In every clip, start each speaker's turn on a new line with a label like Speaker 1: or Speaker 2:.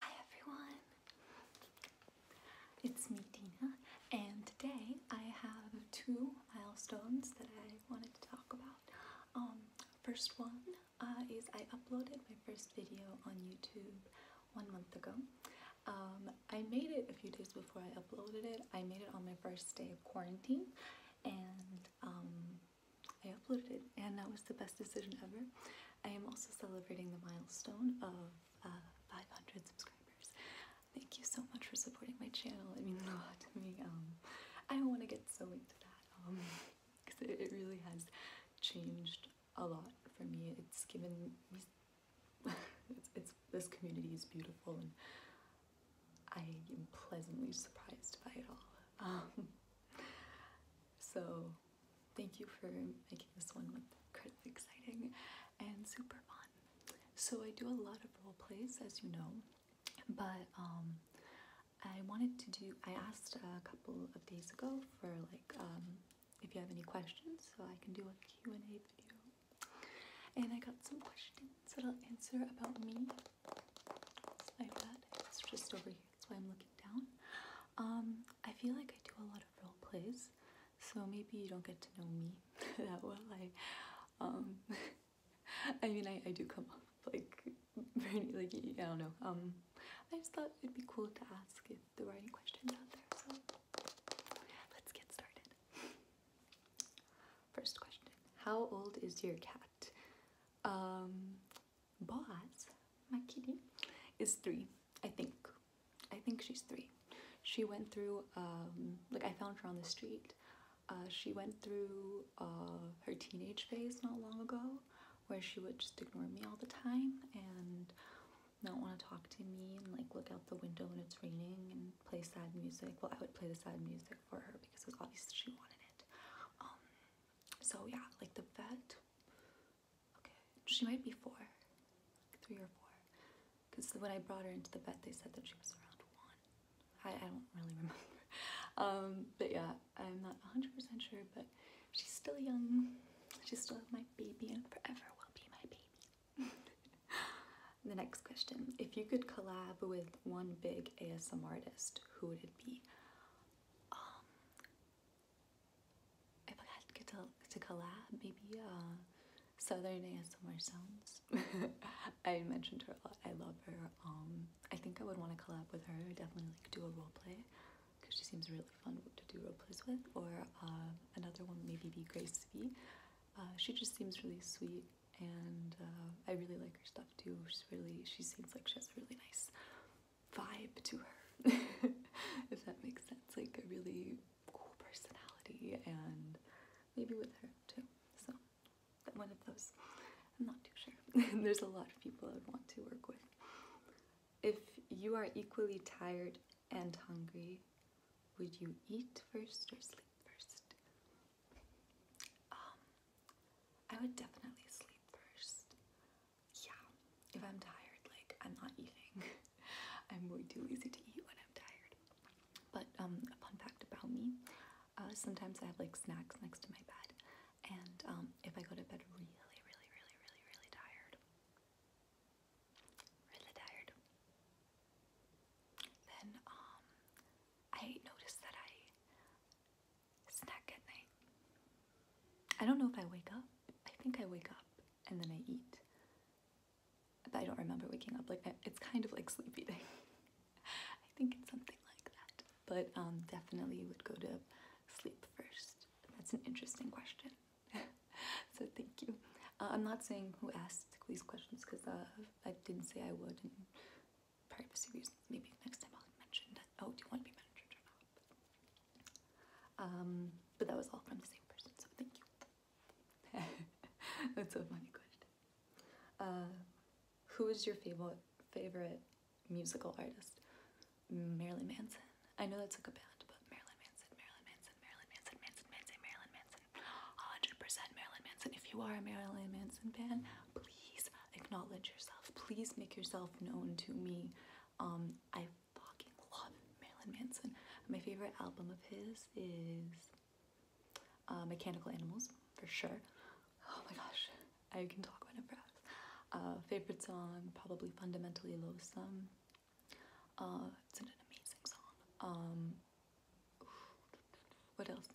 Speaker 1: Hi everyone! It's me, Dina, and today I have two milestones that I wanted to talk about. Um, first one uh, is I uploaded my first video on YouTube one month ago. Um, I made it a few days before I uploaded it. I made it on my first day of quarantine, and um, I uploaded it and that was the best decision ever. I am also celebrating the milestone of uh, 500 subscribers. Thank you so much for supporting my channel. It means a lot to me. Um, I don't want to get so into that because um, it, really has changed a lot for me. It's given me. it's, this community is beautiful, and I am pleasantly surprised by it all. Um, so Thank you for making this one like incredibly exciting and super fun. So I do a lot of role plays, as you know, but um, I wanted to do. I asked a couple of days ago for like um, if you have any questions, so I can do a Q and A video. And I got some questions that I'll answer about me. It's my bed. It's just over here. That's why I'm looking down. Um, I feel like I do a lot of of role plays, so maybe you don't get to know me that well. I, um, I mean, I, I do come off like very like I don't know. Um, I just thought it'd be cool to ask the writing questions out there. So let's get started. First question: How old is your cat? Um, but my kitty is three, I think. I think she's three. She went through, um, like I found her on the street. Uh, she went through uh, her teenage phase not long ago where she would just ignore me all the time and not want to talk to me and like look out the window when it's raining and play sad music. Well, I would play the sad music for her because it was obvious she wanted it. Um, so yeah, like the vet Okay, she might be four, three or four. Because when I brought her into the vet, they said that she was around one. I, I don't really remember. Um, but yeah, I'm not 100% sure, but she's still young. She's still my baby and forever will be my baby. the next question. If you could collab with one big ASM artist, who would it be? Um, if I had get to, to collab, maybe uh, Southern ASMR Sounds. I mentioned her a lot. I love her. Um, I think I would want to collab with her. Definitely like do a role play because she seems really fun to do role plays with. Or uh, another one maybe be Grace V. Uh, she just seems really sweet and uh, I really like her stuff too. She's really she seems like she has really nice vibe to her, if that makes sense. Like a really cool personality, and maybe with her too. So, one of those. I'm not too sure. There's a lot of people I'd want to work with. If you are equally tired and hungry, would you eat first or sleep first? Um, I would definitely sleep first yeah, if I'm tired, like I'm not eating. I'm way too lazy to eat when I'm tired. But um, a fun fact about me, uh, sometimes I have like snacks next to my bed, and um, if I go to bed really, really, really, really, really tired, really tired, then um, I notice that I snack at night. I don't know if I wake up. I think I wake up, and then I eat. But I don't remember waking up. Like it's kind of like sleep eating. I think it's something like that. But um, definitely would go to sleep first. That's an interesting question. so thank you. Uh, I'm not saying who asked these questions because uh, I didn't say I would, and privacy reasons. Maybe next time I'll mention that. Oh, do you want to be mentioned or not? Um, but that was all from the same person, so thank you. That's a funny question. Uh, who is your favorite favorite musical artist? Marilyn Manson. I know that's like a band, but Marilyn Manson, Marilyn Manson, Marilyn Manson, Manson, Manson, Marilyn Manson. 100% Marilyn Manson. If you are a Marilyn Manson fan, please acknowledge yourself. Please make yourself known to me. Um, I fucking love Marilyn Manson. My favorite album of his is uh, Mechanical Animals, for sure. Oh my gosh, I can talk about it for favorite song, probably Fundamentally Loathsome. Uh, it's an amazing song. Um, what else?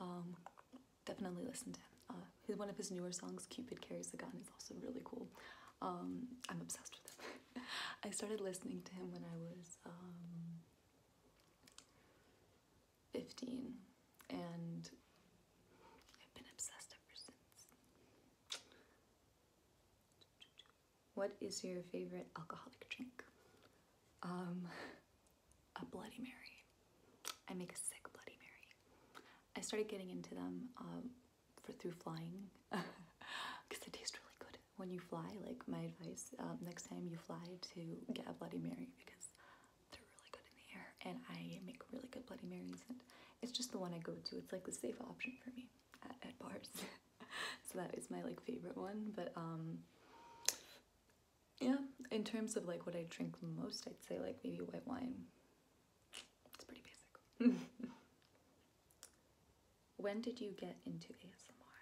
Speaker 1: Um, definitely listen to him. Uh, one of his newer songs, Cupid Carries a Gun, it's also really cool. Um, I'm obsessed with him. I started listening to him when I was um, 15, and I've been obsessed ever since. What is your favorite alcoholic drink? Um, a Bloody Mary. I make a sick Bloody Mary. I started getting into them for through flying because it tastes really good when you fly. Like my advice, um, next time you fly, to get a Bloody Mary because they're really good in the air, and I make really good Bloody Marys, and it's just the one I go to. It's like the safe option for me at bars. so that is my like favorite one, but um. Yeah, in terms of like what I drink most, I'd say like maybe white wine it's pretty basic. when did you get into ASMR?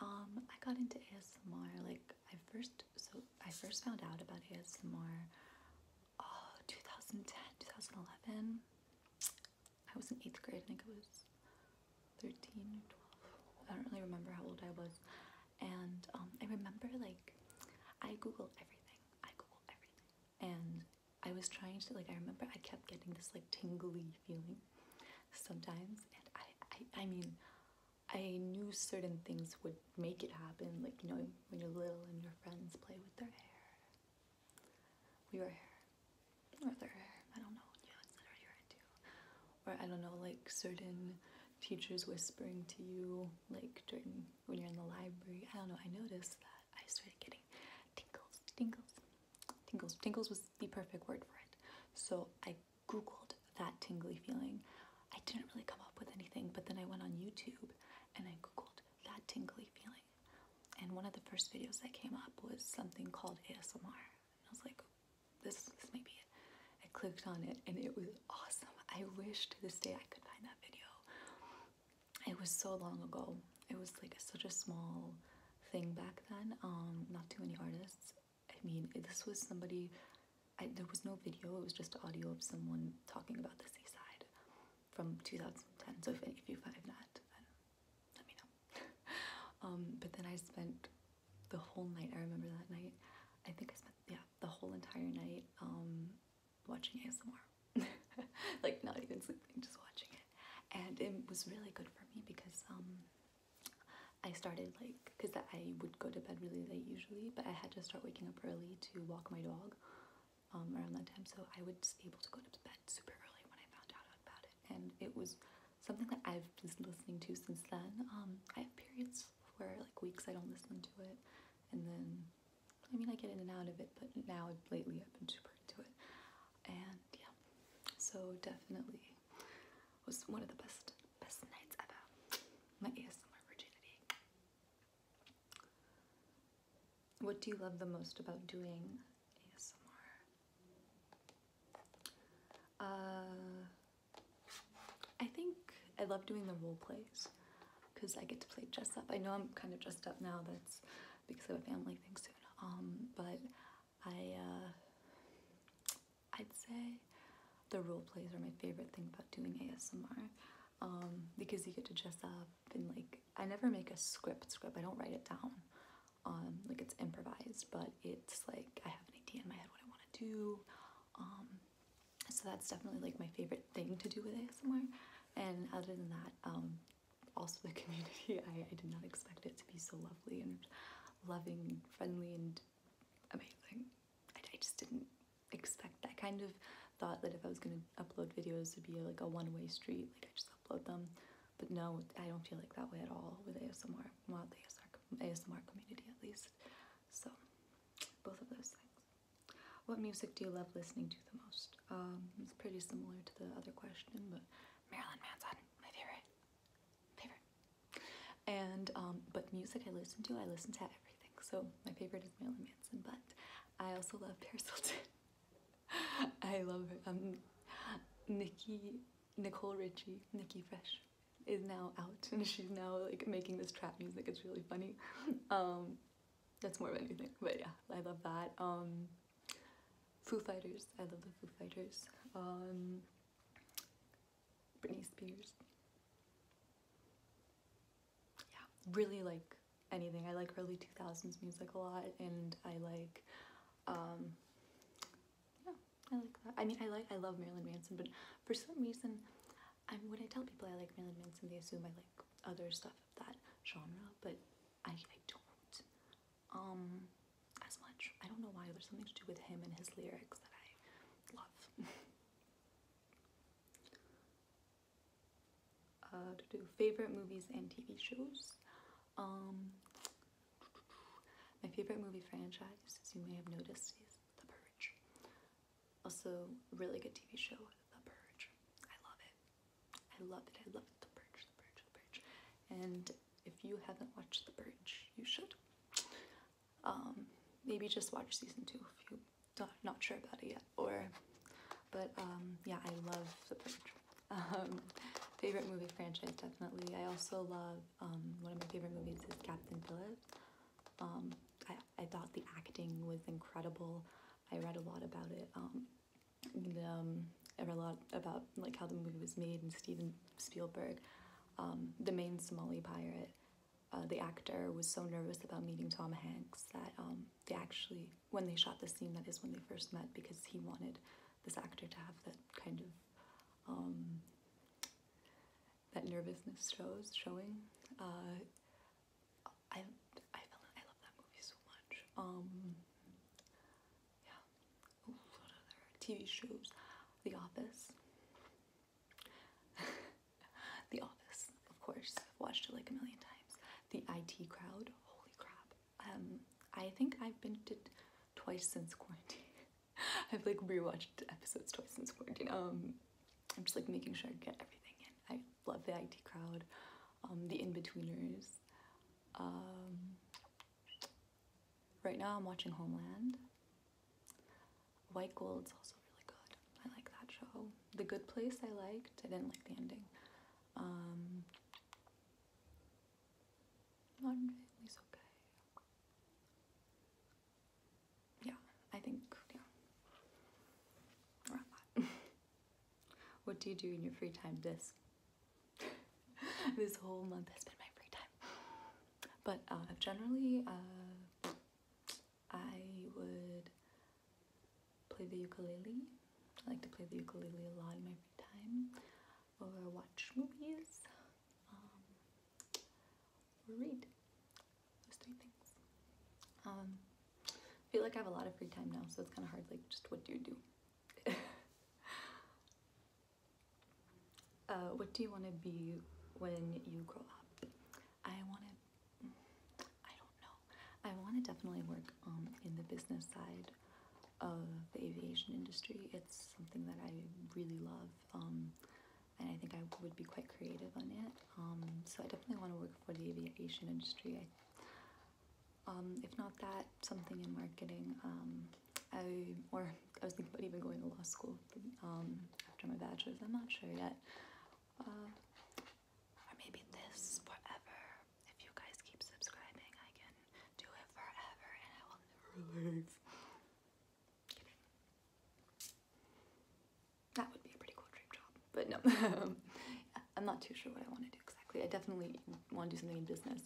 Speaker 1: Um, I got into ASMR like I first so I first found out about ASMR oh 2010, 2011. I was in 8th grade, I think it was 13 or 12. I don't really remember how old I was. And um, I remember like I googled everything. I googled everything and I was trying to like I remember I kept getting this like tingly feeling sometimes and I I, mean I knew certain things would make it happen like you know when you're little and your friends play with their hair your hair or their hair I don't know you it's not your hair or I don't know like certain teachers whispering to you like during when you're in the library I don't know I noticed that I started getting tingles, tingles, tingles. Tingles was the perfect word for it. So I googled that tingly feeling. I didn't really come up with anything, but then I went on YouTube and I googled that tingly feeling. And one of the first videos that came up was something called ASMR. I was like, this, this may be it. I clicked on it and it was awesome. I wish to this day I could find that video it was so long ago. It was like such a small thing back then. Um, not too many artists. I mean, this was somebody. I, there was no video. It was just audio of someone talking about the seaside from 2010. So if, if you find that, let me know. um, but then I spent the whole night. I remember that night. I think I spent yeah the whole entire night um, watching ASMR. like not even sleeping, just watching it. And it was really good for me because um, I started like, because I would go to bed really late usually, but I had to start waking up early to walk my dog um, around that time. So I was able to go to bed super early when I found out about it. And it was something that I've been listening to since then. Um, I have periods where like weeks I don't listen to it and then I mean, I get in and out of it, but now lately I've been super into it. And yeah, so definitely was one of the best best nights ever. My ASMR virginity. What do you love the most about doing ASMR? Uh, I think I love doing the role plays because I get to play dress up. I know I'm kind of dressed up now. That's because of a family thing soon. Um, but I, uh, I'd say the role plays are my favorite thing about doing ASMR um, because you get to dress up and like I never make a script script. I don't write it down. Um, like it's improvised, but it's like I have an idea in my head what I want to do. so that's definitely like my favorite thing to do with ASMR. And other than that, also the community. I, did not expect it to be so lovely and loving and friendly and amazing. I, just didn't expect. I kind of thought that if I was going to upload videos, it'd be like a one-way street. Like I just upload them. But no, I don't feel like that way at all with ASMR. Well, the ASMR community at least. So both of those things. What music do you love listening to the most? Um, it's pretty similar to the other question, but Marilyn Manson, my favorite, favorite. And um, but music I listen to, I listen to everything. So my favorite is Marilyn Manson, but I also love Paris Hilton. I love her. Um, Nikki, Nicole Richie, Nikki Fresh is now out and she's now like making this trap music. It's really funny. that's more of anything, but yeah, I love that. Foo Fighters. I love the Foo Fighters. Um, Britney Spears. Yeah, really like anything. I like early 2000s music a lot and I like, um, yeah, I like I mean, I like, I love Marilyn Manson, but for some reason, I'm, when I tell people I like Marilyn Manson, they assume I like other stuff that genre, but I, I don't um, as much. I don't know why. There's something to do with him and his lyrics that I love. Uh, to do favorite movies and TV shows. Um, my favorite movie franchise, as you may have noticed, is The Purge. Also, really good TV show, The Purge. I love it. I love it. I love The Purge, The Purge, The Purge. And if you haven't watched The Purge, you should. Um, maybe just watch season two if you are not sure about it yet. Or, but um, yeah, I love The Purge. Um, favorite movie franchise definitely. I also love um, one of my favorite movies is Captain Phillips. Um, I, I thought the acting was incredible. I read a lot about it. Um, um, I a lot about like how the movie was made and Steven Spielberg, um, the main Somali pirate. Uh, the actor was so nervous about meeting Tom Hanks that um, they actually, when they shot the scene, that is when they first met because he wanted this actor to have that kind of um, that nervousness shows showing. Uh, I I I love that movie so much. Um, yeah. what other TV shows? The Office. the Office, of course. I've watched it like a million times. The IT Crowd. Holy crap. Um, I think I've been to twice since quarantine. I've like rewatched episodes twice since quarantine. Um, I'm just like making sure I get everything in. I love the IT Crowd. Um, the in-betweeners um, right now i'm watching homeland white gold's also really good i like that show the good place i liked i didn't like the ending um, family's okay yeah i think yeah what do you do in your free time this this whole month has been my free time. But uh, generally, uh, I would play the ukulele. I like to play the ukulele a lot in my free time, or watch movies, um, or read. Those three things. Um, I feel like I have a lot of free time now, so it's kind of hard. Like, just what do you do? uh, what do you want to be when you grow up? I want to, mm, I don't know. I want to definitely work um, in the business side of the aviation industry. It's something that I really love. Um, and I think I would be quite creative on it. Um, so I definitely want to work for the aviation industry. I, um, if not that, something in marketing. Um, I or I was thinking about even going to law school um, after my bachelor's. I'm not sure yet. Uh, or maybe this forever. If you guys keep subscribing, I can do it forever, and I will never leave. That would be a pretty cool dream job, but no. I'm not too sure what I want to exactly. I definitely want to do something in business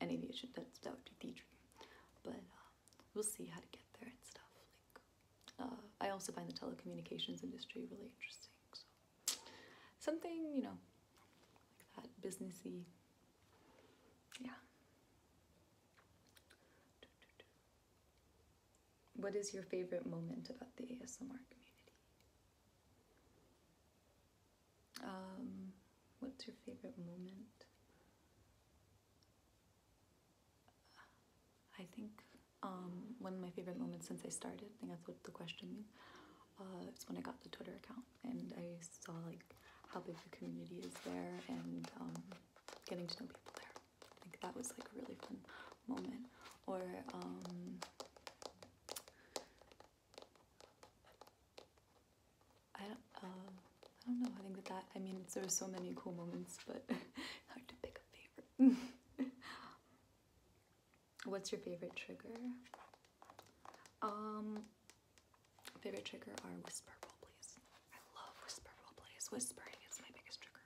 Speaker 1: and aviation. That's that would be the dream. But uh, we'll see how to get there and stuff. Like, uh, I also find the telecommunications industry really interesting. So something you know, like that businessy. Yeah. What is your favorite moment about the ASMR community? Um, what's your favorite moment? I think um, one of my favorite moments since I started, I think that's what the question means, uh, it's when I got the Twitter account and I saw like how big the community is there and um, getting to know people there. I think that was like a really fun moment. Or um, I don't, um, I don't know. I think that that, I mean, there are so many cool moments, but hard to pick a favorite. What's your favorite trigger? Um, favorite trigger are whisper Please, I love whisper Please, Whispering is my biggest trigger.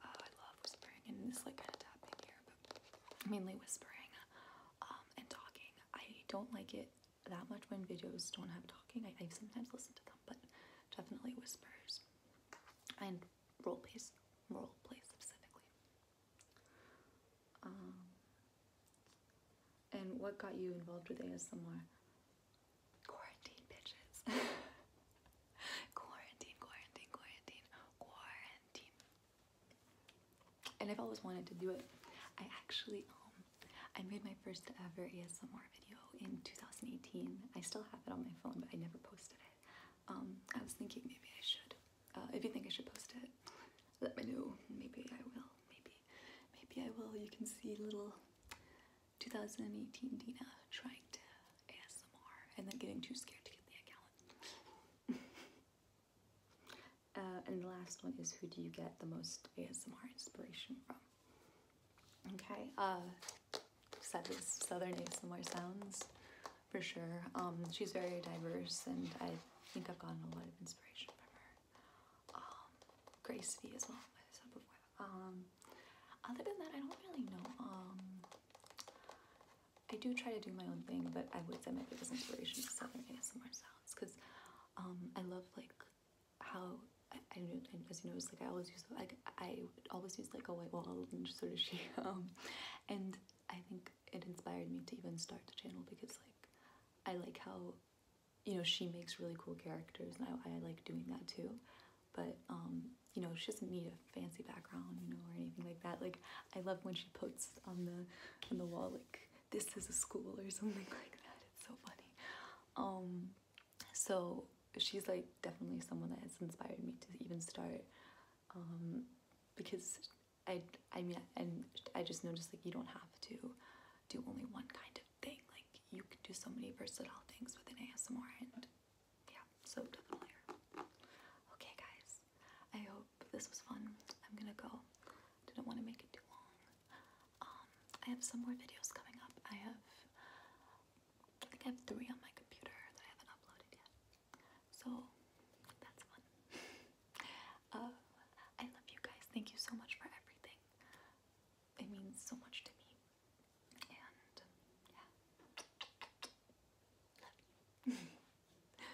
Speaker 1: Uh, I love whispering and this like kind of tapping here mainly whispering um, and talking. I don't like it that much when videos don't have talking. I, sometimes listen to them, but definitely whispers and role plays, role play specifically. Um, and what got you involved with ASMR? Quarantine bitches. quarantine, quarantine, quarantine, quarantine and I've always wanted to do it. I actually um, I made my first ever ASMR video in 2018. I still have it on my phone, but I never posted it. Um, I was thinking maybe I should. Uh, if you think I should post it, let me know. Maybe I will. Maybe, maybe I will. You can see little 2018 Dina trying to ASMR and then getting too scared to get the account. Uh, and the last one is who do you get the most ASMR inspiration from? Okay, uh, Southern, Southern ASMR sounds for sure. Um, she's very diverse and I think I've gotten a lot of inspiration from her. Um, Grace V as well. Um, other than that, I don't really know. Um, I do try to do my own thing, but I would say my biggest inspiration is Southern ASMR sounds because um, I love like how I, I knew, as you notice, like I always use like I always use like a white wall, and sort of she. Um, and I think it inspired me to even start the channel because like I like how you know she makes really cool characters, and I, I like doing that too. But um, you know, she doesn't need a fancy background, you know, or anything like that. Like I love when she puts on the on the wall like this is a school or something like that it's so funny um so she's like definitely someone that has inspired me to even start um because i i mean and i just noticed like you don't have to do only one kind of thing like you can do so many versatile things with an asmr and yeah so definitely okay guys I hope this was fun. I'm gonna go. Didn't want to make it too long. Um, I have some more videos coming up. I have, I think I have three on my computer that I haven't uploaded yet. So that's fun. Uh, I love you guys. Thank you so much for everything. It means so much to me. And yeah, love you.